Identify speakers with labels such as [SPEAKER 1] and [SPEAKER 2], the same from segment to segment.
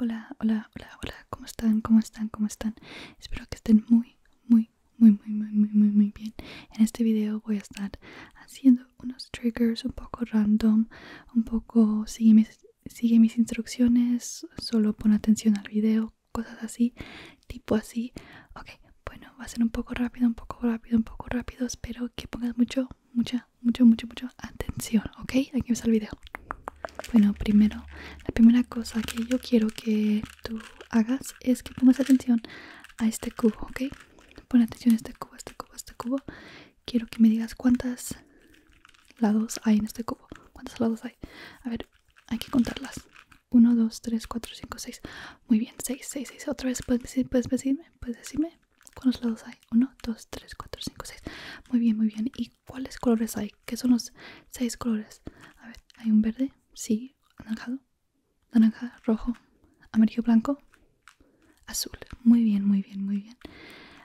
[SPEAKER 1] Hola, hola, hola, hola, ¿cómo están? ¿Cómo están? ¿Cómo están? Espero que estén muy, muy, muy, muy, muy, muy, muy, muy bien. En este video voy a estar haciendo unos triggers un poco random, un poco sigue mis, sigue mis instrucciones, solo pon atención al video, cosas así, tipo así. Ok, bueno, va a ser un poco rápido, un poco rápido, un poco rápido. Espero que pongas mucho, mucha, mucho, mucho, mucho atención, ¿ok? Aquí empieza el video. Bueno, primero, la primera cosa que yo quiero que tú hagas es que pongas atención a este cubo, ¿ok? Pon atención a este cubo, este cubo, este cubo. Quiero que me digas cuántos lados hay en este cubo. ¿Cuántos lados hay? A ver, hay que contarlas. 1, 2, 3, 4, 5, 6. Muy bien, 6, 6, 6. Otra vez, ¿puedes, puedes decirme? ¿Puedes decirme? ¿Cuántos lados hay? 1, 2, 3, 4, 5, 6. Muy bien, muy bien. ¿Y cuáles colores hay? ¿Qué son los seis colores? A ver, hay un verde, sí, anaranjado, naranja, rojo, amarillo, blanco, azul. Muy bien, muy bien, muy bien.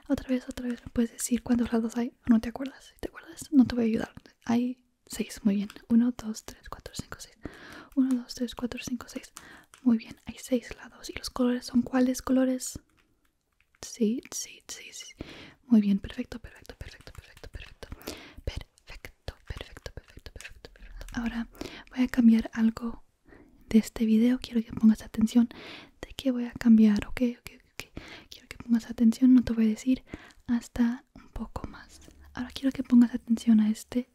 [SPEAKER 1] Otra vez, otra vez, puedes decir cuántos lados hay? ¿O no te acuerdas? te acuerdas, no te voy a ayudar. Hay seis, muy bien. Uno, dos, tres, cuatro, cinco, seis. Uno, dos, tres, cuatro, cinco, seis. Muy bien, hay seis lados. ¿Y los colores son cuáles colores? Sí, sí, sí, sí. Muy bien, perfecto, perfecto, perfecto, perfecto, perfecto. Perfecto, perfecto, perfecto, perfecto, Ahora voy a cambiar algo de este video. Quiero que pongas atención de qué voy a cambiar, ok, ok, ok. Quiero que pongas atención, no te voy a decir hasta un poco más. Ahora quiero que pongas atención a este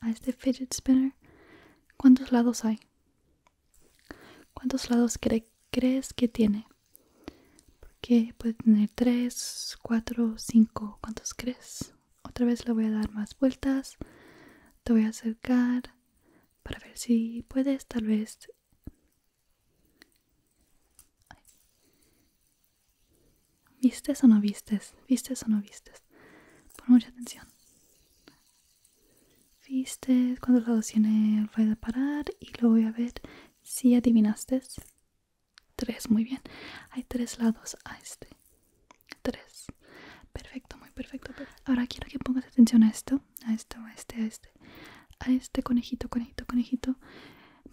[SPEAKER 1] a este fidget spinner. ¿Cuántos lados hay? ¿Cuántos lados crees que tiene? Porque puede tener 3, 4, 5. ¿Cuántos crees? Otra vez le voy a dar más vueltas. Te voy a acercar para ver si puedes, tal vez. ¿Vistes o no vistes? ¿Vistes o no vistes? Pon mucha atención. ¿Viste cuántos lados tiene el faida parar? Y lo voy a ver si adivinaste. Tres, muy bien. Hay tres lados a este. Tres. Perfecto, muy perfecto. Ahora quiero que pongas atención a esto, a esto, a este, a este. A este conejito, conejito, conejito.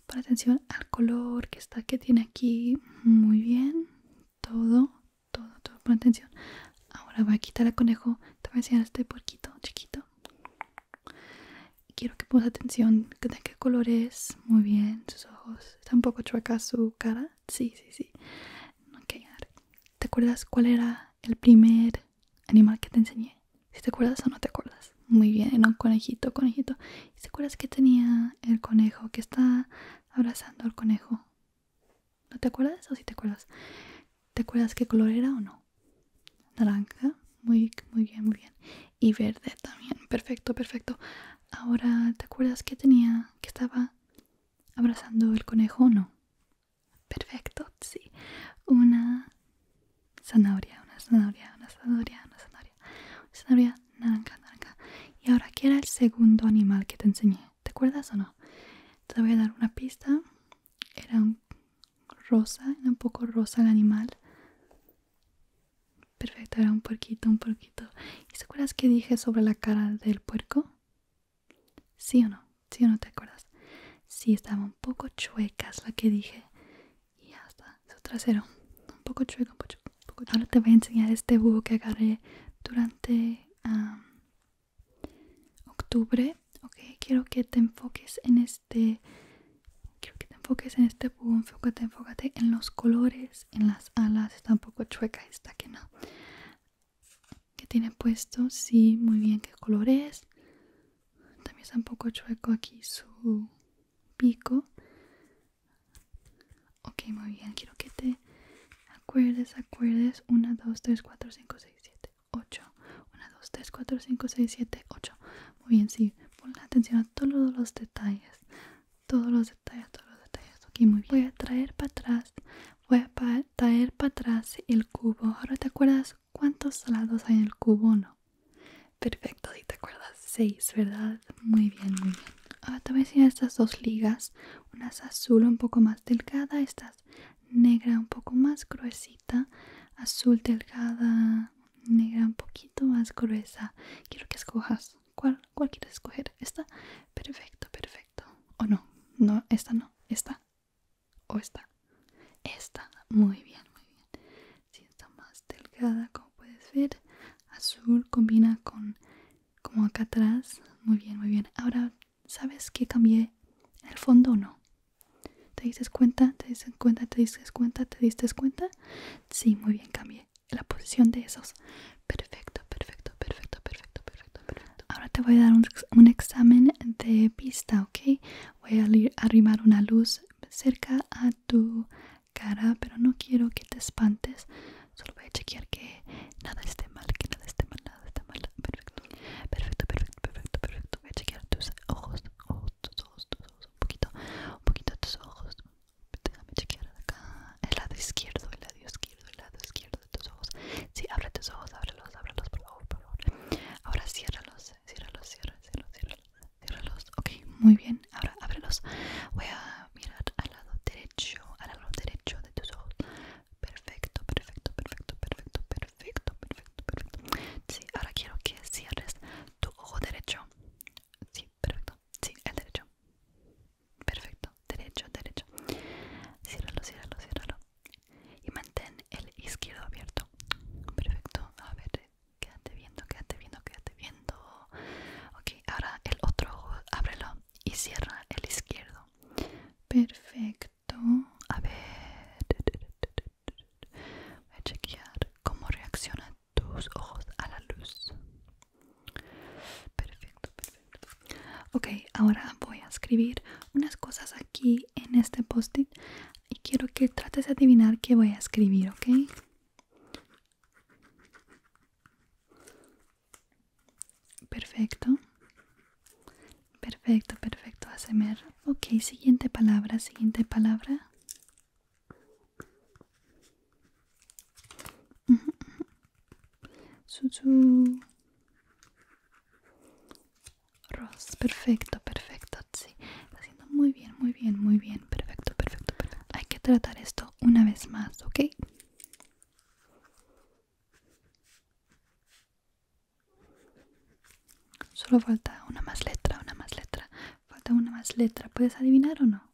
[SPEAKER 1] Pon atención al color que está, que tiene aquí. Muy bien. Todo, todo, todo, pon atención. Ahora voy a quitar al conejo. Te voy a enseñar este porquito chiquito. Quiero que pongas atención de qué color es. Muy bien, sus ojos. Está un poco chueca su cara. Sí, sí, sí. hay ¿Te acuerdas cuál era el primer animal que te enseñé? Si te acuerdas o no te acuerdas. Muy bien, un Conejito, conejito. te acuerdas que tenía el conejo? Que está abrazando al conejo. ¿No te acuerdas o te acuerdas? ¿Te acuerdas qué color era o no? Naranja, muy, muy bien, muy bien. Y verde también, perfecto, perfecto. Ahora, ¿te acuerdas que tenía, que estaba abrazando el conejo o no? Perfecto, sí. Una zanahoria, una zanahoria, una zanahoria, una zanahoria. Una zanahoria naranja, naranja. Y ahora, ¿qué era el segundo animal que te enseñé? ¿Te acuerdas o no? Te voy a dar una pista. Era un rosa, era un poco rosa el animal. Perfecto, era un puerquito, un puerquito. ¿Y te acuerdas que dije sobre la cara del puerco? ¿Sí o no? ¿Sí o no te acuerdas? Sí, estaba un poco chueca, la que dije. Y ya está, su trasero. Un poco chueco, un poco chueco. Ahora te voy a enseñar este búho que agarré durante octubre, ok, quiero que te enfoques en este, quiero que te enfoques en este boom, enfócate, enfócate en los colores, en las alas, está un poco chueca esta que no, que tiene puesto, sí, muy bien, qué color es, también está un poco chueco aquí su pico, ok, muy bien, quiero que te acuerdes, acuerdes, 1, 2, 3, 4, 5, 6, 7, 8 1, 2, 3, 4, 5, 6, 7, 8 muy bien, sí, pon atención a todos los detalles todos los detalles, todos los detalles ok, muy bien voy a traer para atrás voy a traer para atrás el cubo ahora te acuerdas cuántos lados hay en el cubo, ¿no? perfecto, si te acuerdas 6, ¿verdad? muy bien, muy bien ahora te voy a enseñar estas dos ligas unas azul un poco más delgada, esta negra un poco más gruesita azul delgada negra un poquito más gruesa quiero que escojas cuál, quieres escoger esta perfecto perfecto o no no esta no esta o esta esta muy bien muy bien si está más delgada como puedes ver azul combina con como acá atrás muy bien muy bien ahora sabes que cambié el fondo o no te dices cuenta te dices cuenta te dices cuenta te diste cuenta sí muy bien cambié la posición de esos perfecto perfecto perfecto perfecto perfecto perfecto ahora te voy a dar un, examen de vista ok voy a arrimar una luz cerca a tu cara pero no quiero que te espantes solo voy a chequear que nada esté mal que nada esté mal Perfecto. Perfecto, perfecto, perfecto, Voy a chequear tus ojos, ojos, tus ojos, tus ojos. Un poquito, un poquito tus ojos. Déjame chequear acá. El lado izquierdo, el lado izquierdo, el lado izquierdo de tus ojos. Sí, abre tus ojos, ábrelos, ábrelos, por favor, por favor. Ahora ciérralos, ciérralos, ciérralos, ciérralos, ciérralos. Ok, muy bien. Ahora ábrelos. Voy a mirar al lado derecho, al lado derecho de tus ojos. perfecto, perfecto, perfecto, perfecto perfecto, perfecto, perfecto. Sí, ahora quiero que cierres tu ojo derecho. Sí, perfecto. Sí, el derecho. Perfecto. Derecho, derecho. Ciérralo, ciérralo, ciérralo. Y mantén el izquierdo abierto. Perfecto. A ver, quédate viendo, quédate viendo, quédate viendo. Ok, ahora el otro ojo, ábrelo y cierra el izquierdo. Perfecto. A ver, voy a chequear cómo reaccionan tus ojos a la luz. Perfecto, perfecto. Ok, ahora voy a escribir unas cosas aquí en este post-it y quiero que trates de adivinar qué voy a escribir, ¿ok? Perfecto. Perfecto, perfecto. ASMR. Ok, siguiente palabra, siguiente palabra. Perfecto, perfecto. Sí, está haciendo muy bien, muy bien, muy bien. perfecto, perfecto. Hay que tratar esto una vez más, ¿ok? Solo falta una más letra, una más letra. Falta una más letra. ¿Puedes adivinar o no?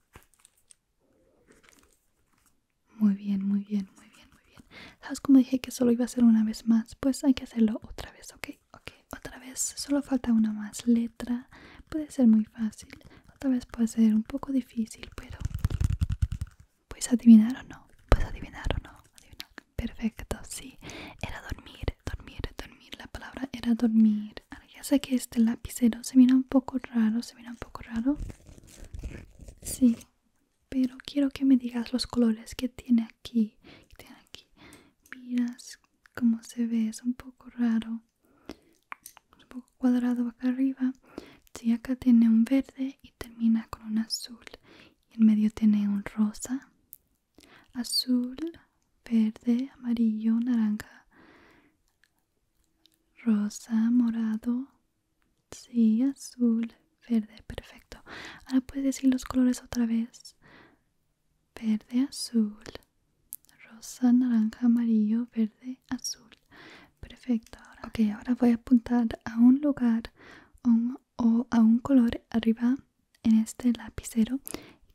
[SPEAKER 1] Muy bien, muy bien, muy bien, muy bien. ¿Sabes cómo dije que solo iba a ser una vez más? Pues hay que hacerlo otra vez, ¿ok? Ok, otra vez. Solo falta una más letra. Puede ser muy fácil. Otra vez puede ser un poco difícil, pero ¿Puedes adivinar o no? ¿Puedes adivinar o no? Perfecto, sí. Era dormir, dormir, dormir. La palabra era dormir. ya sé que este lapicero se mira un poco raro, se mira un poco raro. Sí, pero quiero que me digas los colores que tiene aquí. Que tiene aquí. Miras cómo se ve, es un poco raro. Es un poco cuadrado acá arriba. Sí, acá tiene un verde y termina con un azul. En medio tiene un rosa, azul, verde, amarillo, naranja, rosa, morado, sí, azul, verde, perfecto. Ahora puedes decir los colores otra vez. Verde, azul, rosa, naranja, amarillo, verde, azul. Perfecto. Ahora, ok, ahora voy a apuntar a un lugar, un o a un color arriba en este lapicero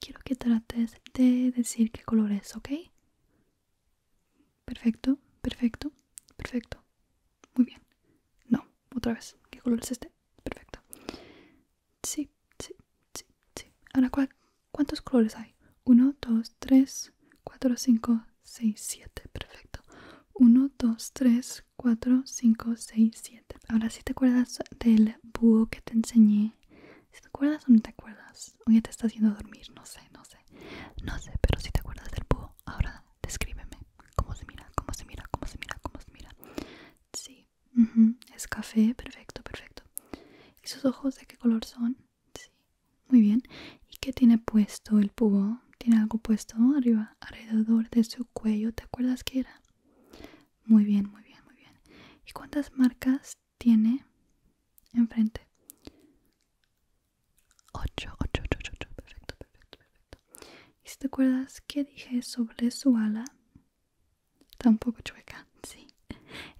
[SPEAKER 1] quiero que trates de decir qué color es, ¿ok? Perfecto, perfecto, perfecto. Muy bien. No, otra vez. ¿Qué color es este? Perfecto. Sí, sí, sí, sí. Ahora, ¿cuántos colores hay? 1, 2, 3, 4, 5, 6, 7. Perfecto. 1, 2, 3, 4, 5, 6, 7. Ahora si ¿sí te acuerdas del búho que te enseñé. Si te acuerdas o no te acuerdas. O ya te está haciendo dormir, no sé, no sé. No sé, pero si te acuerdas del búho, ahora descríbeme. ¿Cómo se mira? ¿Cómo se mira? ¿Cómo se mira? ¿Cómo se mira? Sí. Es café, perfecto, perfecto. ¿Y sus ojos de qué color son? Sí. Muy bien. ¿Y qué tiene puesto el búho? ¿Tiene algo puesto arriba alrededor de su cuello, ¿te acuerdas que era? Muy bien, muy bien, muy bien. ¿Y cuántas marcas tiene enfrente? 8, 8, 8, 8, Perfecto, perfecto, perfecto. ¿Y si te acuerdas qué dije sobre su ala? Está un poco chueca, sí.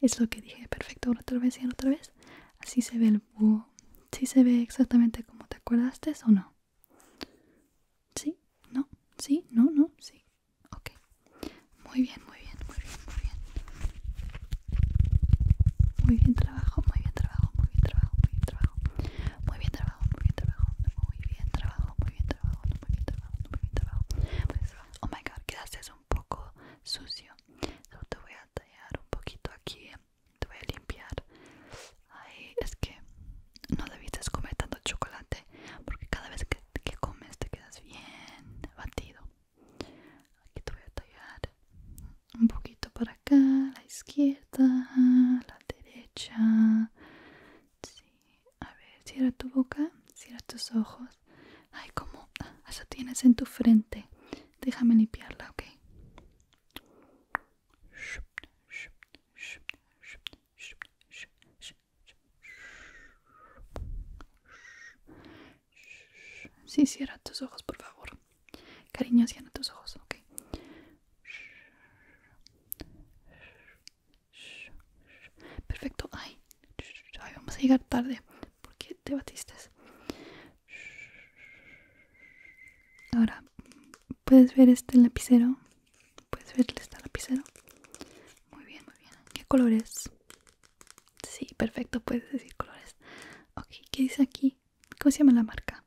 [SPEAKER 1] Es lo que dije. Perfecto, ahora otra vez y otra vez. Así se ve el búho. Sí se ve exactamente como te acuerdaste o no. Sí, no, sí, no, no, sí. Ok. Muy bien, muy bien, muy bien, muy bien. Muy bien trabajo, muy bien trabajo, muy bien trabajo, muy bien trabajo. Muy bien trabajo, muy bien trabajo, muy bien trabajo, muy bien trabajo, muy bien trabajo, muy bien trabajo. Pues, oh my god, quedaste un poco sucio. Yo te voy a tallar un poquito aquí eh te voy a limpiar. Ay, es que no debiste comer tanto chocolate porque cada vez que, comes te quedas bien batido. Aquí te voy a tallar un poquito para acá, la izquierda, la derecha. Sí, a ver, cierra tu boca, cierra tus ojos. Ay, como ah, eso tienes en tu frente. Déjame limpiarla, ok. Sí, cierra tus ojos, por favor. Cariño, cierra tus ojos, ok. Perfecto, ay. ay, vamos a llegar tarde. ¿Por qué te batiste? Ahora, ¿Puedes ver este lapicero? ¿Puedes ver este lapicero? Muy bien, muy bien. ¿Qué colores? Sí, perfecto, puedes decir colores. Ok, ¿qué dice aquí? ¿Cómo se llama la marca?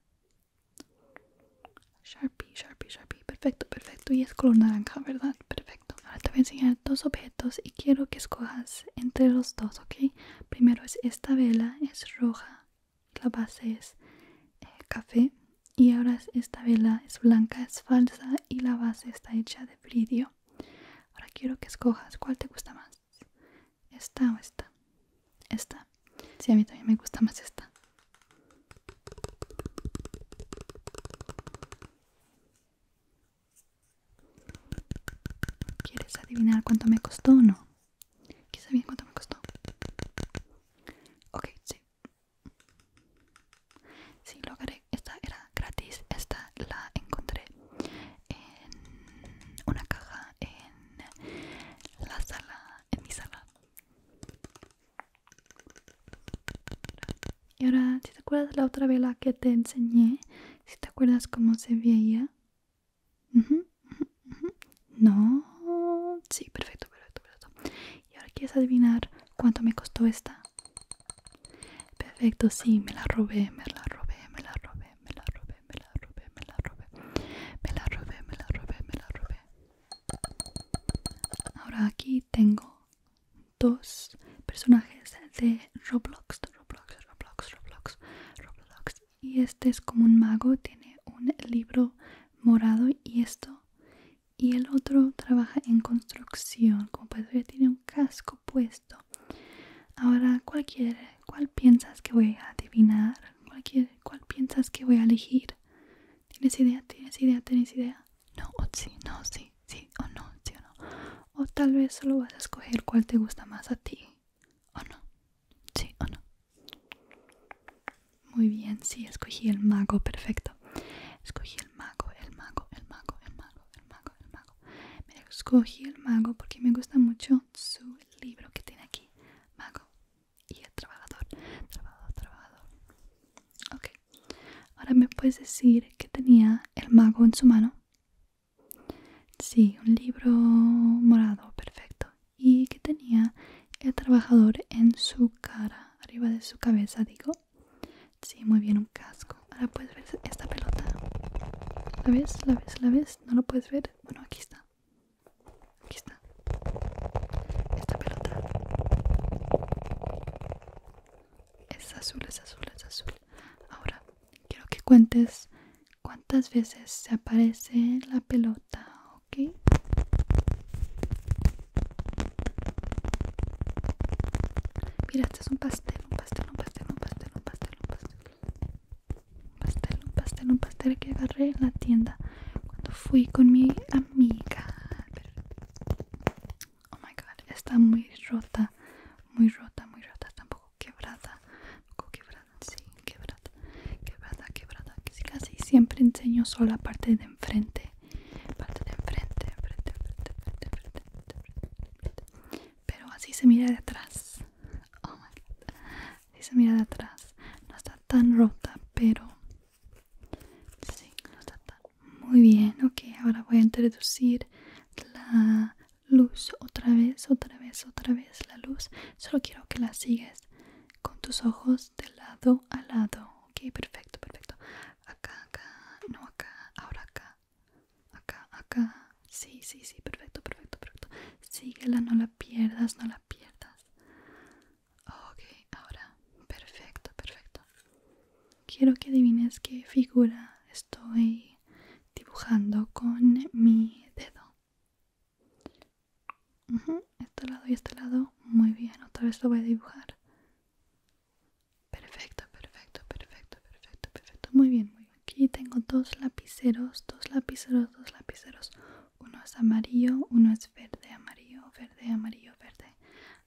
[SPEAKER 1] Sharpie, Sharpie, Sharpie. Perfecto, perfecto. Y es color naranja, ¿verdad? Perfecto. Ahora te voy a enseñar dos objetos y quiero que escojas entre los dos, ¿ok? Primero es esta vela, es roja la base es eh, café y ahora esta vela es blanca, es falsa y la base está hecha de vidrio. Ahora quiero que escojas cuál te gusta más, esta o esta. Esta. Si a mí también me gusta más esta. ¿Quieres adivinar cuánto me costó o no? ¿Qué ver cuánto me costó? Ok, sí. Sí, lo Esta era gratis. Esta la encontré en una caja en la sala, en mi sala. Y ahora, si te acuerdas la otra vela que te enseñé, si te acuerdas cómo se veía, no, sí, perfecto, perfecto, perfecto. Y ahora quieres adivinar cuánto me costó esta. Perfecto, sí, me la robé, me la robé, me la robé, me la robé, me la robé, me la robé, me la robé, me la robé, me la robé. Ahora aquí tengo dos personajes de Roblox, Roblox, Roblox, Roblox, Roblox. Y este es como un mago, tiene un libro morado y esto y el otro trabaja en construcción como puedes ver tiene un casco puesto ahora cualquier cuál piensas que voy a adivinar cualquier cuál piensas que voy a elegir tienes idea tienes idea tienes idea no o sí no sí sí o no sí o no o tal vez solo vas a escoger cuál te gusta más a ti o no sí o no muy bien, sí, escogí el mago, perfecto. Escogí el mago, el mago, el mago, el mago, el mago, el mago. Mira, escogí el mago porque me gusta mucho su libro que tiene aquí. Mago y el trabajador. Trabajador, trabajador. Ok. Ahora me puedes decir que tenía el mago en su mano. Sí, un libro morado, perfecto y que tenía el trabajador en su cara, arriba de su cabeza, digo. Sí, muy bien, un casco. Ahora puedes ver esta pelota. ¿La ves? ¿La ves? ¿La ves? ¿No lo puedes ver? Bueno, aquí está. Aquí está. Esta pelota. Es azul, es azul, es azul. Ahora, quiero que cuentes cuántas veces se aparece la pelota mira este es un pastel un pastel un pastel un pastel un pastel un pastel un pastel un pastel un pastel que agarré en la tienda cuando fui con mi amiga oh my god está muy rota muy rota muy rota tampoco quebrada poco quebrada sí quebrada quebrada, quebrada, quebrada. Casi siempre enseño solo la parte de enfrente, parte de enfrente, Pero así se mira de atrás. Oh my se mira de atrás. No está tan rota, pero sí, Muy bien, ok. Ahora voy a introducir la luz otra vez, otra vez, otra vez la luz. Solo quiero que la sigues con tus ojos de lado a lado ok perfecto perfecto acá acá no acá ahora acá acá acá sí sí sí perfecto perfecto perfecto síguela no la pierdas no la pierdas ok ahora perfecto perfecto quiero que adivines qué figura estoy dibujando con mi dedo este lado y este lado, muy bien, otra vez lo voy a dibujar. Perfecto, perfecto, perfecto, perfecto, perfecto. Muy bien, muy bien. Aquí tengo dos lapiceros, dos lapiceros, dos lapiceros. Uno es amarillo, uno es verde, amarillo, verde, amarillo, verde,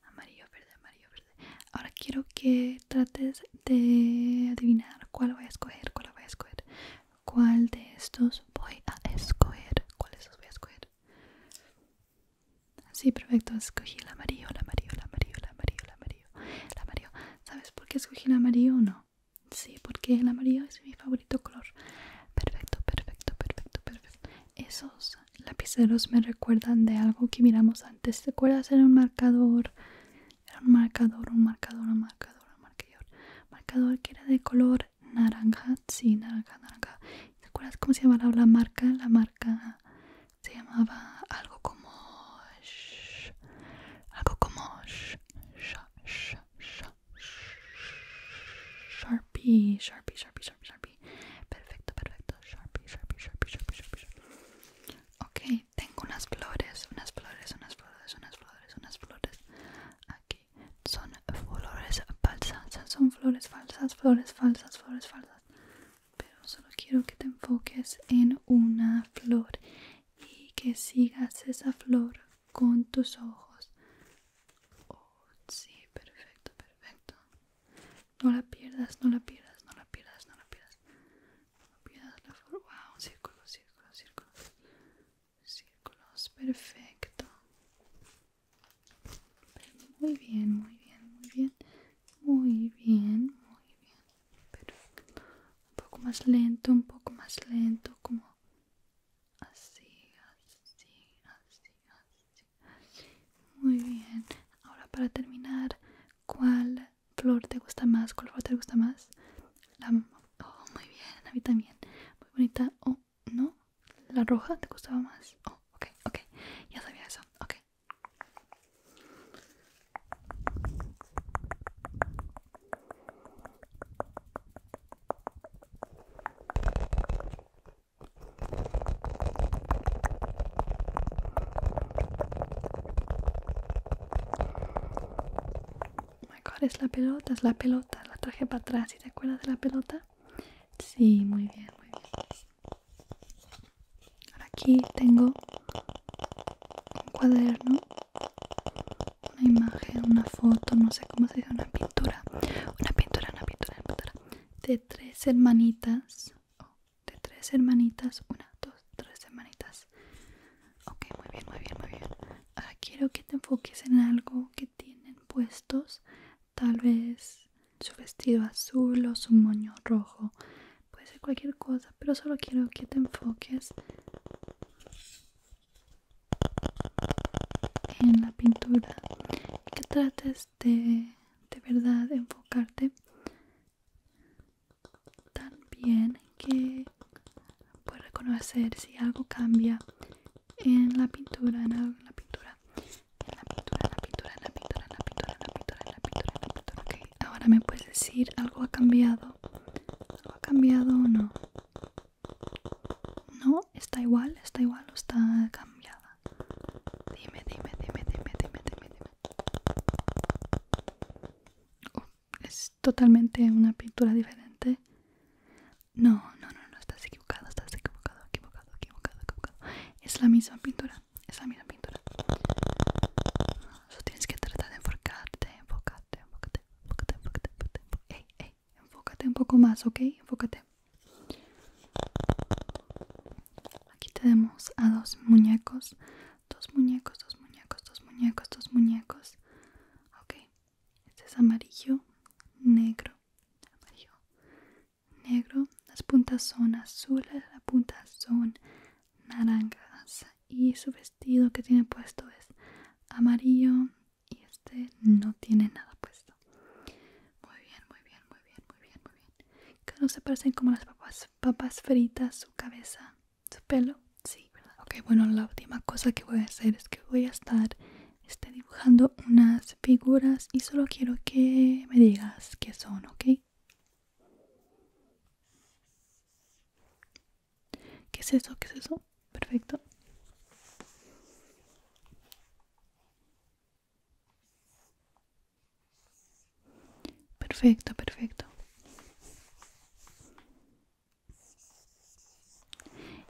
[SPEAKER 1] amarillo, verde, amarillo, verde. Ahora quiero que trates de adivinar cuál voy a escoger, cuál voy a escoger. ¿Cuál de estos voy a escoger? ¿Cuál de estos voy a escoger? Sí, perfecto, escogí el amarillo, el amarillo, el amarillo, el amarillo, el amarillo, el amarillo. ¿Sabes por qué escogí el amarillo o no? Sí, porque el amarillo es mi favorito color. Perfecto, perfecto, perfecto, perfecto. Esos lapiceros me recuerdan de algo que miramos antes. ¿Te acuerdas? Era un marcador, era un marcador, un marcador, un marcador, un marcador. Marcador que era de color naranja, sí, naranja, naranja. ¿Te acuerdas cómo se llamaba la marca? La marca se llamaba algo como algo como Sharpie, Sharpie, Sharpie, Sharpie, Sharpie. Perfecto, perfecto. Sharpie, Sharpie, Sharpie, Sharpie, Sharpie. Ok, tengo unas flores, unas flores, unas flores, unas flores, unas flores. aquí son flores falsas, son flores falsas, flores falsas, flores falsas. Pero solo quiero que te enfoques en una flor y que sigas esa flor con tus ojos. Oh, sí, perfecto, perfecto. No la pierdas, no la pierdas, no la pierdas, no la pierdas. No pierdas la flor. Wow, círculos, círculos, círculos. Círculos, perfecto. Muy bien, muy bien, muy bien. Muy bien, muy bien. un poco más lento, un poco más lento, como así, así, así, así. Muy bien. Ahora para terminar, ¿cuál flor te gusta más? ¿Cuál flor te gusta más? oh, muy bien, a mí también. Muy bonita. Oh, ¿No? ¿La roja te gustaba más? Oh, ok, ok. Ya sabía eso. Ok. Oh my God, es la pelota, es la pelota, la traje para atrás, ¿y te acuerdas de la pelota? Sí, muy bien, muy bien. Ahora aquí tengo un cuaderno, una imagen, una foto, no sé cómo se dice, una pintura. Una pintura, una pintura, una pintura. De tres hermanitas. de tres hermanitas. Una, dos, tres hermanitas. Ok, muy bien, muy bien, muy bien. Ahora quiero que te enfoques en algo que tienen puestos tal vez su vestido azul o su moño rojo, puede ser cualquier cosa, pero solo quiero que te enfoques en la pintura que trates de de verdad enfocarte tan bien que puedas reconocer si algo cambia en la pintura, en la pintura en la pintura, en la pintura, en la pintura, en la pintura, en la pintura, en la pintura, en la pintura. Okay. Ahora me puedes decir algo ha cambiado. ¿Algo ha cambiado o no? No, está igual, está igual o está cambiada. Dime, dime, dime, dime, dime, dime, dime. Oh, es totalmente una pintura diferente. No, no, no, no, estás equivocado, estás equivocado, equivocado, equivocado, Es la misma pintura, es la misma pintura. Solo tienes que tratar de enfocarte, enfocarte, enfocarte, enfocarte, enfocarte, Ey, ey, enfócate un poco más, ¿ok? Enfócate. Aquí tenemos a dos muñecos, dos muñecos, dos muñecos, dos muñecos, dos muñecos. Ok, este es amarillo, negro amarillo, negro, las puntas son azules, las puntas son naranjas y su vestido que tiene puesto es amarillo y este no tiene nada puesto. Muy bien, muy bien, muy bien, muy bien, muy bien. se parecen como las papas, papas fritas, su cabeza, su pelo. Sí, ¿verdad? Ok, bueno, la última cosa que voy a hacer es que voy a estar Está dibujando unas figuras y solo quiero que me digas qué son, ¿ok? ¿Qué es eso? ¿Qué es eso? Perfecto. Perfecto, perfecto.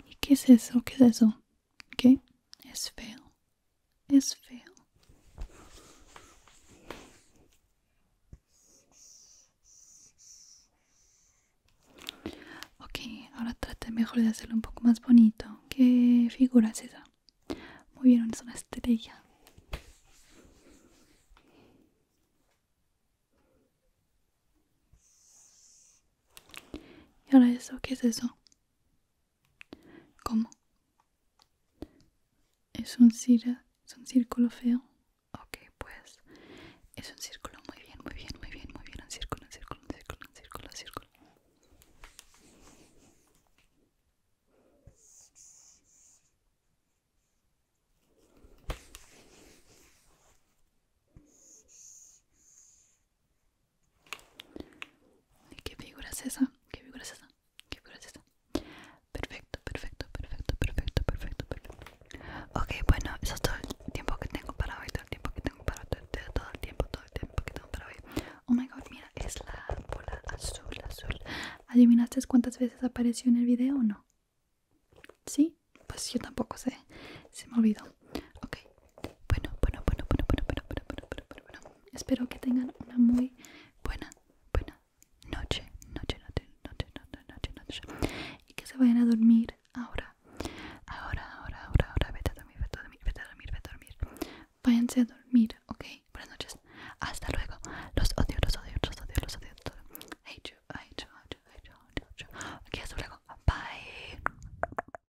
[SPEAKER 1] ¿Y qué es eso? ¿Qué es eso? ¿Qué? Es feo. Es feo. Ok, ahora trate mejor de hacerlo un poco más bonito. ¿Qué figura es esa? Muy bien, es una estrella. ¿Y ahora eso? ¿Qué es eso? ¿Cómo? ¿Es un, círculo feo? Ok, pues es un círculo muy bien, muy bien, muy bien, muy bien. Un círculo, un círculo, un círculo, un círculo, un círculo. ¿Qué figura es esa? ¿Qué figura es ¿Qué figura es Perfecto, perfecto, perfecto, perfecto, perfecto, Ok, bueno, eso es todo el tiempo que tengo para hoy, tiempo que tengo para todo el tiempo, todo el tiempo que tengo para hoy. Oh my god, mira, es la bola azul, azul. ¿Adivinaste cuántas veces apareció en el video o no? ¿Sí? Pues yo tampoco sé. Se me olvidó. Ok, bueno, bueno, bueno, bueno, bueno, bueno, bueno, bueno, bueno, bueno, Espero que tengan una muy buena, buena noche, noche, noche, noche, noche, noche, noche. Y que se vayan a dormir ahora. Ahora, ahora, ahora, ahora. Vete a dormir, vete a dormir, dormir, dormir. Váyanse a dormir, Buenas noches. Hasta luego. Los odio, los odio, los odio, los odio. you, hasta luego. Bye.